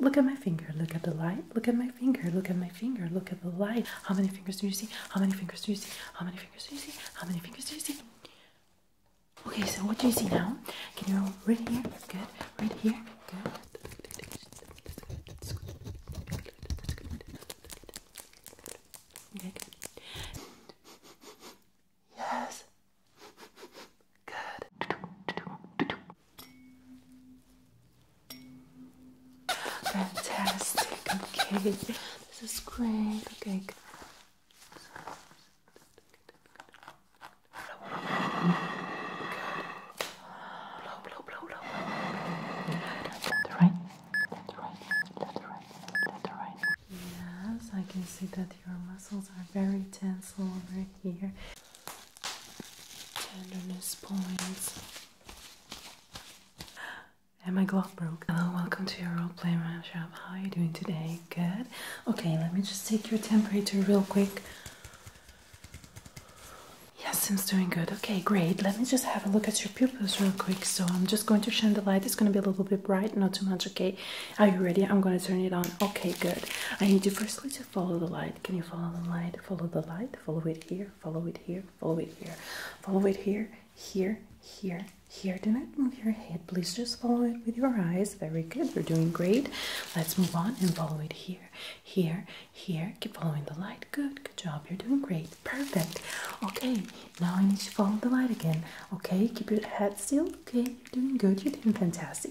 Look at my finger, look at the light, look at my finger, look at my finger, look at the light. How many fingers do you see? How many fingers do you see? How many fingers do you see? How many fingers do you see? Okay, so what do you see now? Can you roll here? Good. Right here? Good. Yes. Good. Fantastic. Okay. This is great. Okay. Good. Good. Blow, blow, blow, blow. Left, right. Left, right. Left, right. Left, right. Yes, I can see that your muscles are very tense over here tenderness points. And my glove broke. Hello, welcome to your roleplay shop. How are you doing today? Good. Okay, let me just take your temperature real quick. Yes, seems doing good. Okay, great. Let me just have a look at your pupils real quick. So I'm just going to shine the light. It's going to be a little bit bright, not too much. Okay. Are you ready? I'm going to turn it on. Okay, good. I need you firstly to follow the light. Can you follow the light? Follow the light. Follow it here. Follow it here. Follow it here. Follow it here. Here. Here. Here. Do not move your head. Please just follow it with your eyes. Very good. You're doing great. Let's move on and follow it here. Here. Here. Keep following the light. Good. Good job. You're doing great. Perfect. Okay. Now I need you to follow the light again. Okay. Keep your head still. Okay. You're doing good. You're doing fantastic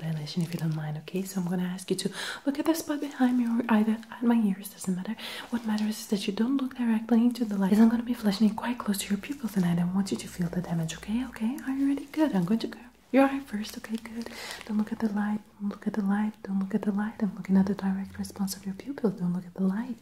dilation if you don't mind, okay? So I'm gonna ask you to look at the spot behind me or either at my ears, doesn't matter. What matters is that you don't look directly into the light. Because I'm gonna be flashing it quite close to your pupils, and I want you to feel the damage, okay? Okay, are you ready? Good, I'm going to go. You're eye first, okay, good. Don't look at the light, look at the light, don't look at the light. I'm looking at the direct response of your pupils. Don't look at the light.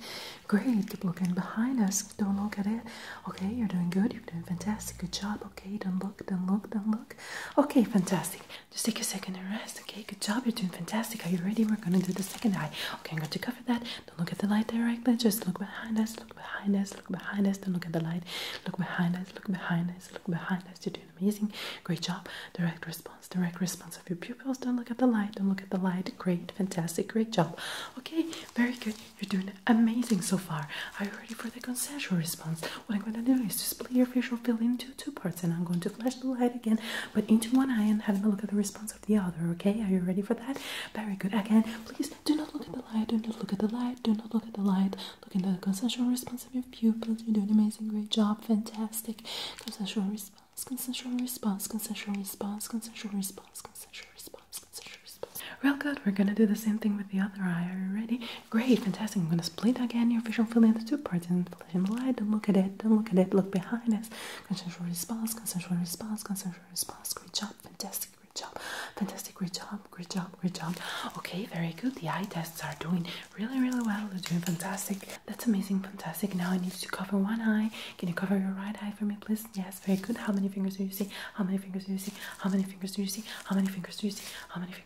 Great, keep looking behind us. Don't look at it. Okay, you're doing good, you're doing fantastic, good job. Okay, don't look, don't look, don't look. Okay, fantastic. Just take a second and rest. Okay, good job. You're doing fantastic. Are you ready? We're gonna do the second eye. Okay, I'm going to cover that. Don't look at the light directly. Just look behind us. Look behind us. Look behind us. Don't look at the light. Look behind us. Look behind us. Look behind us. You're doing amazing. Great job. Direct response. Direct response of your pupils. Don't look at the light. Don't look at the light. Great, fantastic. Great job. Okay, very good. You're doing amazing so far. Are you ready for the consensual response? What I'm going to do is to split your facial field into two parts, and I'm going to flash the light again, but into one eye and having a look at the response of the other. Okay, are you ready for that? Very good. Again, please do not look at the light. Do not look at the light. Do not look at the light. Look into the consensual response of your pupils. You're doing an amazing, great job. Fantastic. Consensual response. Consensual response. Consensual response. Consensual response. Consensual response. Consensual response. Real good. We're gonna do the same thing with the other eye. Are you ready? Great, fantastic. I'm gonna split again your visual field into two parts. and Inflation light, don't look at it, don't look at it, look behind us. Consensual response, consensual response, consensual response. Great job, fantastic, great job, fantastic, great job, great job, great job. Okay, very good. The eye tests are doing really, really well. They're doing fantastic. That's amazing, fantastic. Now I need you to cover one eye. Can you cover your right eye for me, please? Yes, very good. How many fingers do you see? How many fingers do you see? How many fingers do you see? How many fingers do you see? How many fingers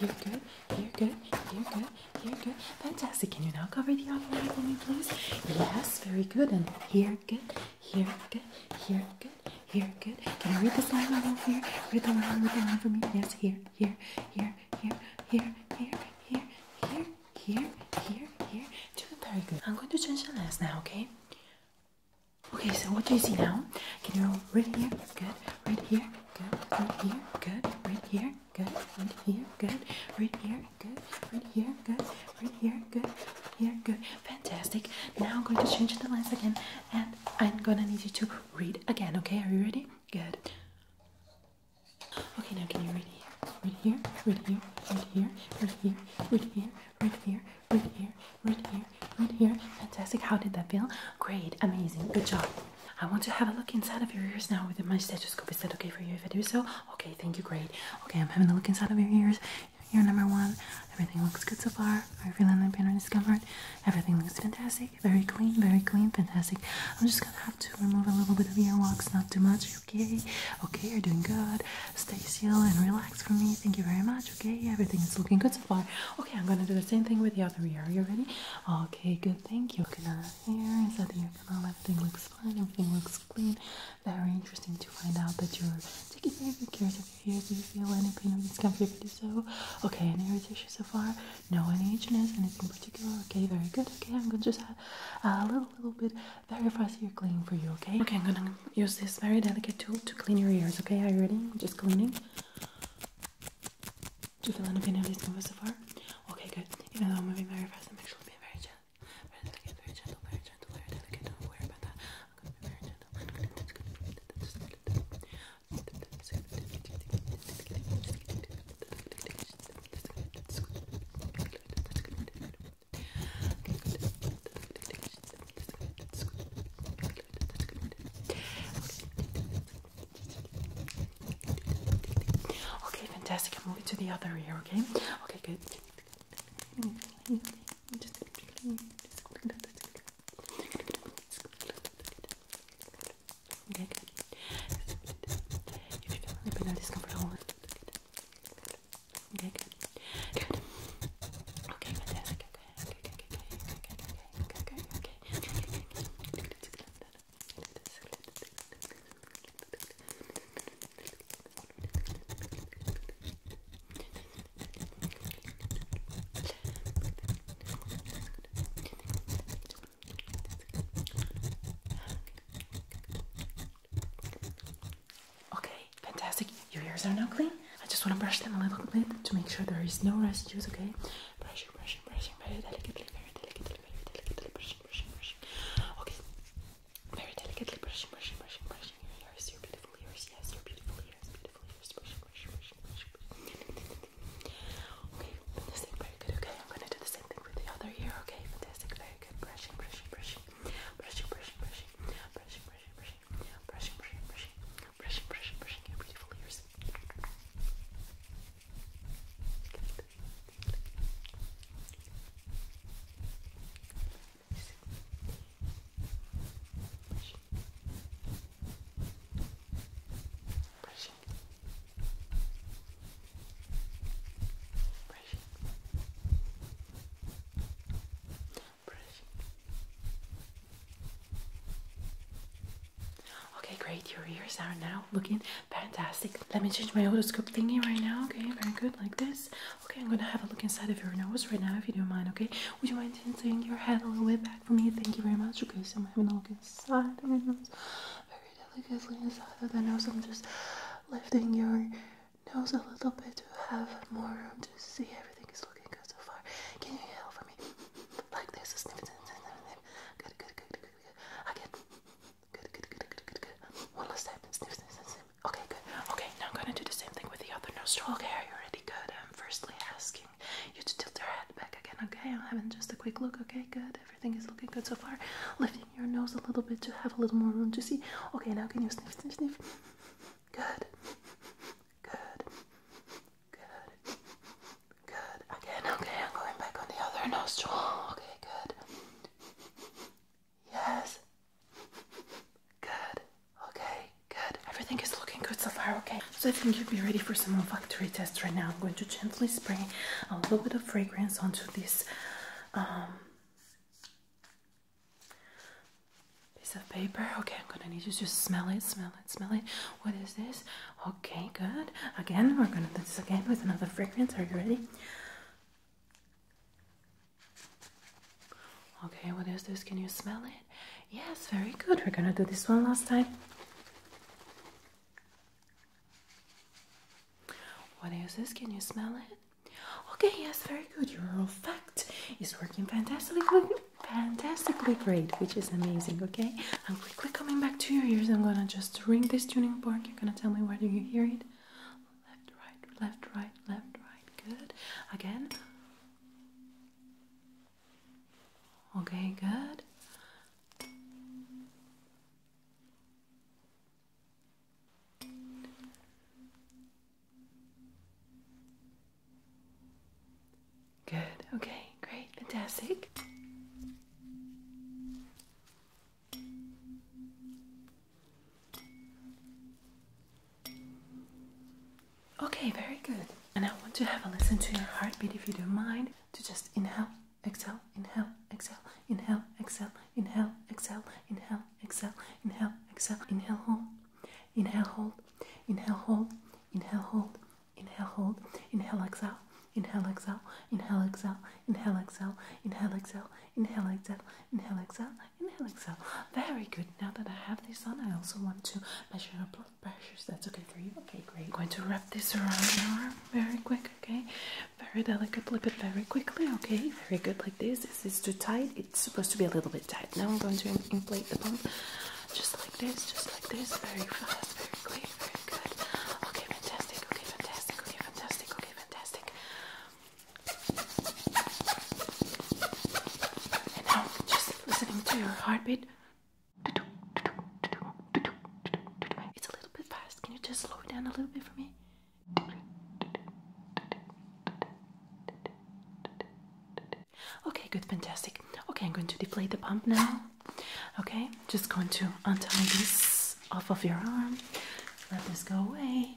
You're good. You're good. You're good. You're good. Fantastic. Can you now cover the other eye for me, please? Yes. Very good. And here, good. Here, good. Here, good. Here, good. Can I read this line all over here? Read the line, read the line for me. Yes. Here. Here. Here. Here. Here. Here. Here. Here. Here. Here. Here. Doing very good. I'm going to change the lens now. Okay. Okay, so what do you see now? Can you read here? Good. Right here good, right here, good, right here, good, right here, good, right here, good, right here, good, right here, good, right here, good. Fantastic. Now I'm going to change the lens again and I'm gonna need you to read again, okay? Are you ready? Good. Okay, now can you read here? Right here, right here, right here, right here, right here, right here, right here, right here, right here. Fantastic. How did that feel? Great, amazing, good job. I want to have a look inside of your ears now with my stethoscope. Is that okay for you if I do so? Okay, thank you, great. Okay, I'm having a look inside of your ears. Ear number one, everything looks good so far. Are you feeling any pain or Everything looks fantastic, very clean, very clean, fantastic. I'm just gonna have to remove a little bit of earwax, not too much, okay? Okay, you're doing good. Stay still and relax for me. Thank you very much okay? Everything is looking good so far. Okay, I'm gonna do the same thing with the other ear. Are you ready? Okay, good, thank you. Looking at the ear, inside the ear everything looks fine, everything looks clean. Very interesting to find out that you're taking very good care of your ears. Do you feel any pain or discomfort? If so, okay, any irritation so far? No, any itchiness, anything particular? Okay, very good. Okay, I'm gonna just have a little, little bit very fast ear cleaning for you, okay? Okay, I'm gonna use this very delicate tool to clean your ears, okay? Are you ready? Just cleaning. Do you feel any pain in these movements so far? Okay, good. Even though I'm moving very fast, I'm actually being very gentle. Very delicate, very gentle, very gentle, very delicate. Don't worry about that. I'm gonna be very gentle. I'm gonna just gonna just gonna Okay, good. Okay, fantastic. I'm moving to the other ear, okay? Okay, good. Okay, good. If you feel a little bit discomfort, hold it. Okay, good. Good. Okay, fantastic. Okay. Okay, fantastic. Your ears are now clean. I just want to brush them a little bit to make sure there is no residues, okay? brushing, brushing, brushing very delicately, very delicately, very delicately brushing, brushing, brushing. Okay, very delicately brushing, brushing, brushing, brushing your ears, your beautiful ears, yes, your beautiful ears, beautiful ears, brushing, brushing, brushing, brushing. Okay, fantastic, very good. Okay, I'm gonna do the same thing with the other ear. Okay, fantastic, very good. Brushing, brushing, brushing, brushing, brushing, brushing, brushing, brushing, brushing, brushing, brushing, brushing. Brushing, brushing, brushing your beautiful ears. Good. Brushing. Brushing. Brushing. Brushing. Brushing. Okay, great. Your ears are now looking fantastic. Let me change my otoscope thingy right now. Okay, very good. Like this. Okay, I'm gonna have a look inside of your nose right now if you don't mind. Okay, would you mind tilting your head a little bit back for me? Thank you very much. Okay, so I'm having a look inside of your nose, very delicately inside of the nose. I'm just lifting your nose a little bit to have more room to see everything is looking good so far. Can you yell for me? Like there's a snippet. Good, good, good, good, good. Again. Good, good, good, good, good, good. One last time. Snip, snip, snip, snip. Okay, good. Okay, now I'm gonna do the same thing with the other nostril. Okay, are already Good. I'm firstly asking you to tilt your head back again. Okay, I'm having just a quick look. Okay, good. Everything is looking good so far. Lifting your nose a little bit to have a little more room to see. Okay, now can you sniff, sniff, sniff? Good. Good. Good. Good. Again, okay, I'm going back on the other nostril. Okay, good. Yes. Good. Okay, good. Everything is looking good so far, okay? So I think you would be ready for some olfactory test right now. I'm going to gently spray a little bit of fragrance onto this um, piece of paper. Okay, I'm gonna need you to smell it, smell it, smell it. What is this? Okay, good. Again, we're gonna do this again with another fragrance. Are you ready? Okay, what is this? Can you smell it? Yes, very good. We're gonna do this one last time. What is this? Can you smell it? Okay, yes, very good. Your effect is working fantastically Fantastically great, which is amazing, okay? I'm quickly coming back to your ears. I'm gonna just ring this tuning fork. You're gonna tell me where do you hear it? Left, right, left, right, left, right. Good. Again. Okay, good. Good. Okay, great. Fantastic. Okay, very good. And I want to have a listen to your heartbeat if you don't mind. To just inhale, exhale, inhale, exhale, inhale, exhale, inhale, exhale, inhale, exhale, inhale, exhale, inhale, hold, inhale, hold, inhale, hold, inhale, hold, Inhale, hold. Inhale, exhale. Inhale, exhale. Inhale, exhale. Inhale, exhale. Inhale, exhale. Inhale, exhale. Inhale, exhale. Inhale, exhale. Very good. Now that I have this on, I also want to measure your blood pressures. That's okay for you. Okay, great. going to wrap this around your arm very quick. Okay, very Flip it very quickly. Okay, very good. Like this. This is too tight. It's supposed to be a little bit tight. Now I'm going to inflate the pump. Just like this, just like this. Very fast, very clean, very good. Okay, fantastic. Okay, fantastic. Okay, fantastic. Okay, fantastic. And now, just listening to your heartbeat. It's a little bit fast. Can you just slow it down a little bit for me? Okay, good, fantastic. Okay, I'm going to deflate the pump now. Okay, just going to untie this off of your arm. Let this go away.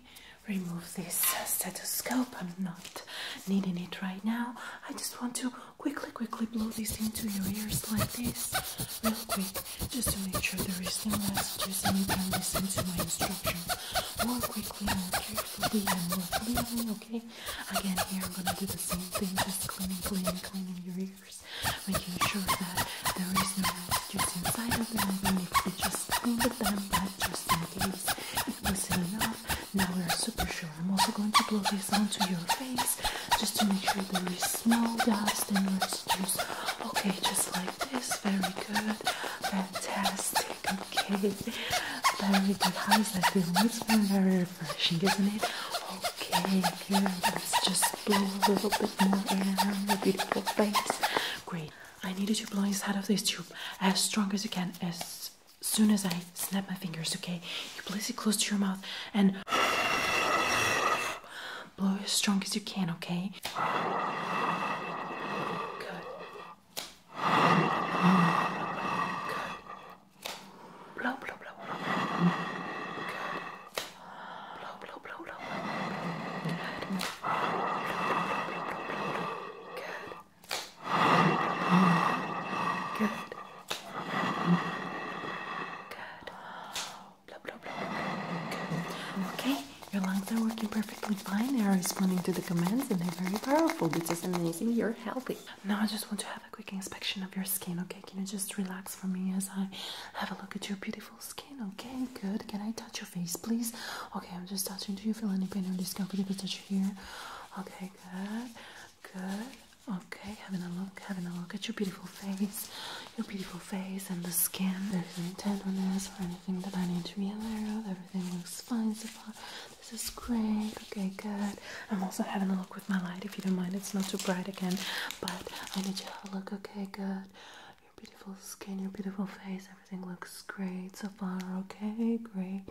Remove this stethoscope. I'm not needing it right now. I just want to quickly, quickly blow this into your ears like this, real quick, just to make sure there is no And you Anytime listen to my instructions. more quickly, and carefully, and more clearly. Okay, Again, here I'm gonna do the same thing, just cleaning, cleaning, cleaning your ears, making sure that there is no dust inside of them. Even if you just cleaned them, but just in case it wasn't enough, now we're super sure. I'm also going to blow this onto your face just to make sure there is no dust and residues. Okay, just like this. Very good. Fantastic. Okay. Very good. How is that feel? It's been very refreshing, isn't it? Okay, good. Let's just blow a little bit more air on your beautiful face. Great. I need you to blow inside of this tube as strong as you can, as soon as I snap my fingers, okay? You place it close to your mouth and blow as strong as you can, okay? Good. Good. Blow, blow, blow, blow. Good. Blow, blow, blow, blow, blow. Good. Blow, Good. Good. Blow, blow, blow, Good. Okay. Your lungs are working perfectly fine. They are responding to the commands and they're very powerful, which is amazing. You're healthy. Now I just want to have a quick inspection of your skin, okay? Can you just relax for me as I have a look at your beautiful skin, okay? Good. Can I touch your face, please? Okay, I'm just touching. Do you feel any pain or discomfort if I touch here? Okay, good. Good. Okay, having a look, having a look at your beautiful face, your beautiful face and the skin. There's no tenderness or anything that I need to be aware of. Everything looks fine so far. This is great. Okay, good. I'm also having a look with my light if you don't mind. It's not too bright again, but I need you to look. Okay, good. Your beautiful skin, your beautiful face, everything looks great so far. Okay, great.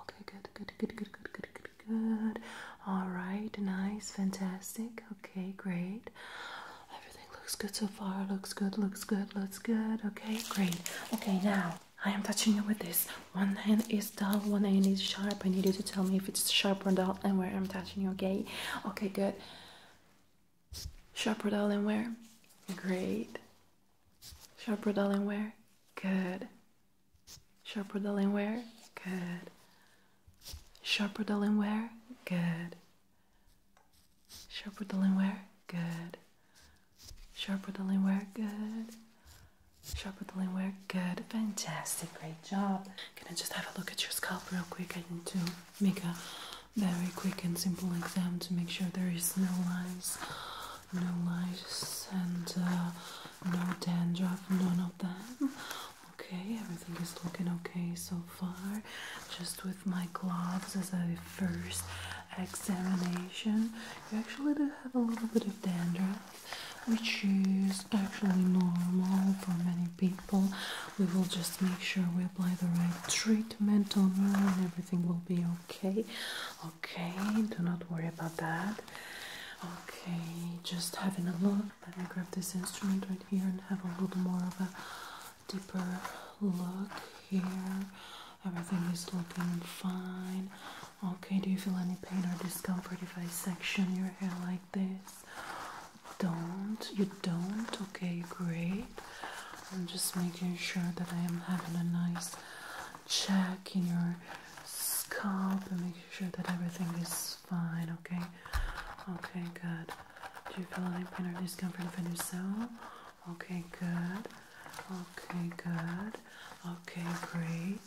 Okay, good, good, good, good, good, good, good, All right, nice, fantastic. Okay, great. Everything looks good so far. Looks good, looks good, looks good. Okay, great. Okay, now I am touching you with this one hand is dull, one hand is sharp. I need you to tell me if it's sharp or dull and where I'm touching you, okay? Okay, good. Sharp or dull and where? Great. Sharp or dull and where? Good. Sharp or dull and where? Good. Sharp or dull and where? Good. Sharp or dull and where? Good. Sharp or dull and where? Good. Shop with the Good. Fantastic. Great job. Can I just have a look at your scalp real quick? I need to make a very quick and simple exam to make sure there is no lines, no lice, and uh, no dandruff, none of them. Okay, everything is looking okay so far. Just with my gloves as a first examination, you actually do have a little bit of dandruff which is actually normal for many people. We will just make sure we apply the right treatment on you and everything will be okay. Okay, do not worry about that. Okay, just having a look. Let me grab this instrument right here and have a little more of a deeper look here. Everything is looking fine. Okay, do you feel any pain or discomfort if I section your hair like this? Don't you don't? Okay, great. I'm just making sure that I am having a nice check in your scalp and making sure that everything is fine, okay? Okay, good. Do you feel any pain or discomfort if I do so? Okay, good. Okay, good. Okay, great.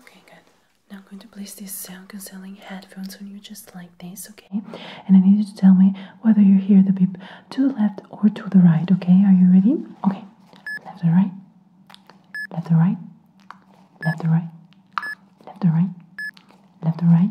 Okay, good. Now I'm going to place these sound cancelling headphones on you just like this, okay? And I need you to tell me whether you hear the beep to the left or to the right, okay? Are you ready? Okay. Left or right? Left or right? Left or right? Left or right? Left or right?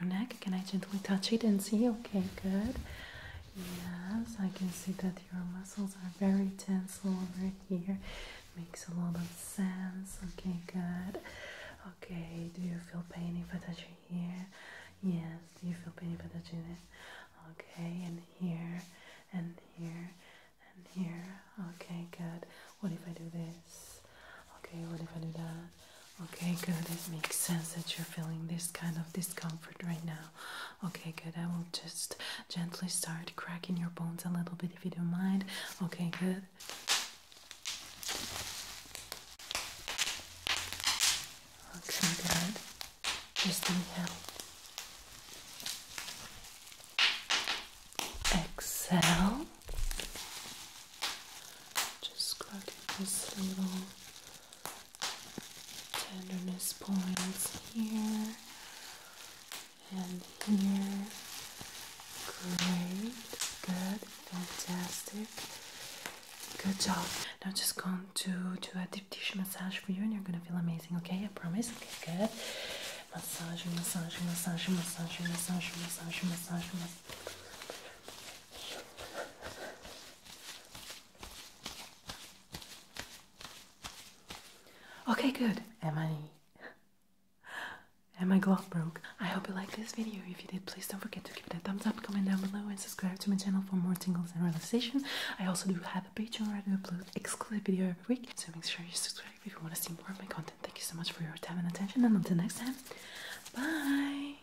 your neck. Can I gently touch it and see? Okay, good. Yes, I can see that your muscles are very tense over here. Makes a lot of sense. Okay, good. Okay, do you feel pain if I touch it here? Yes, do you feel pain if I touch it? Okay, and here, and here, and here. Okay, good. What if I do this? Okay, what if I do that? Okay, good. It makes sense that you're feeling this kind of discomfort right now. Okay, good. I will just gently start cracking your bones a little bit if you don't mind. Okay, good. Okay, good. Just inhale. Exhale. Just cracking this little tenderness points here and here. Great, good, fantastic. Good job. Now just going to do a deep tissue massage for you and you're gonna feel amazing, okay? I promise. Okay, good. Massage, massage, massage, massage, massage, massage, massage, massage, massage. Okay, good. Am I... And my glove broke. I hope you liked this video. If you did, please don't forget to give it a thumbs up, comment down below, and subscribe to my channel for more tingles and relaxation. I also do have a Patreon where I upload exclusive video every week, so make sure you subscribe if you want to see more of my content. Thank you so much for your time and attention, and until next time, bye!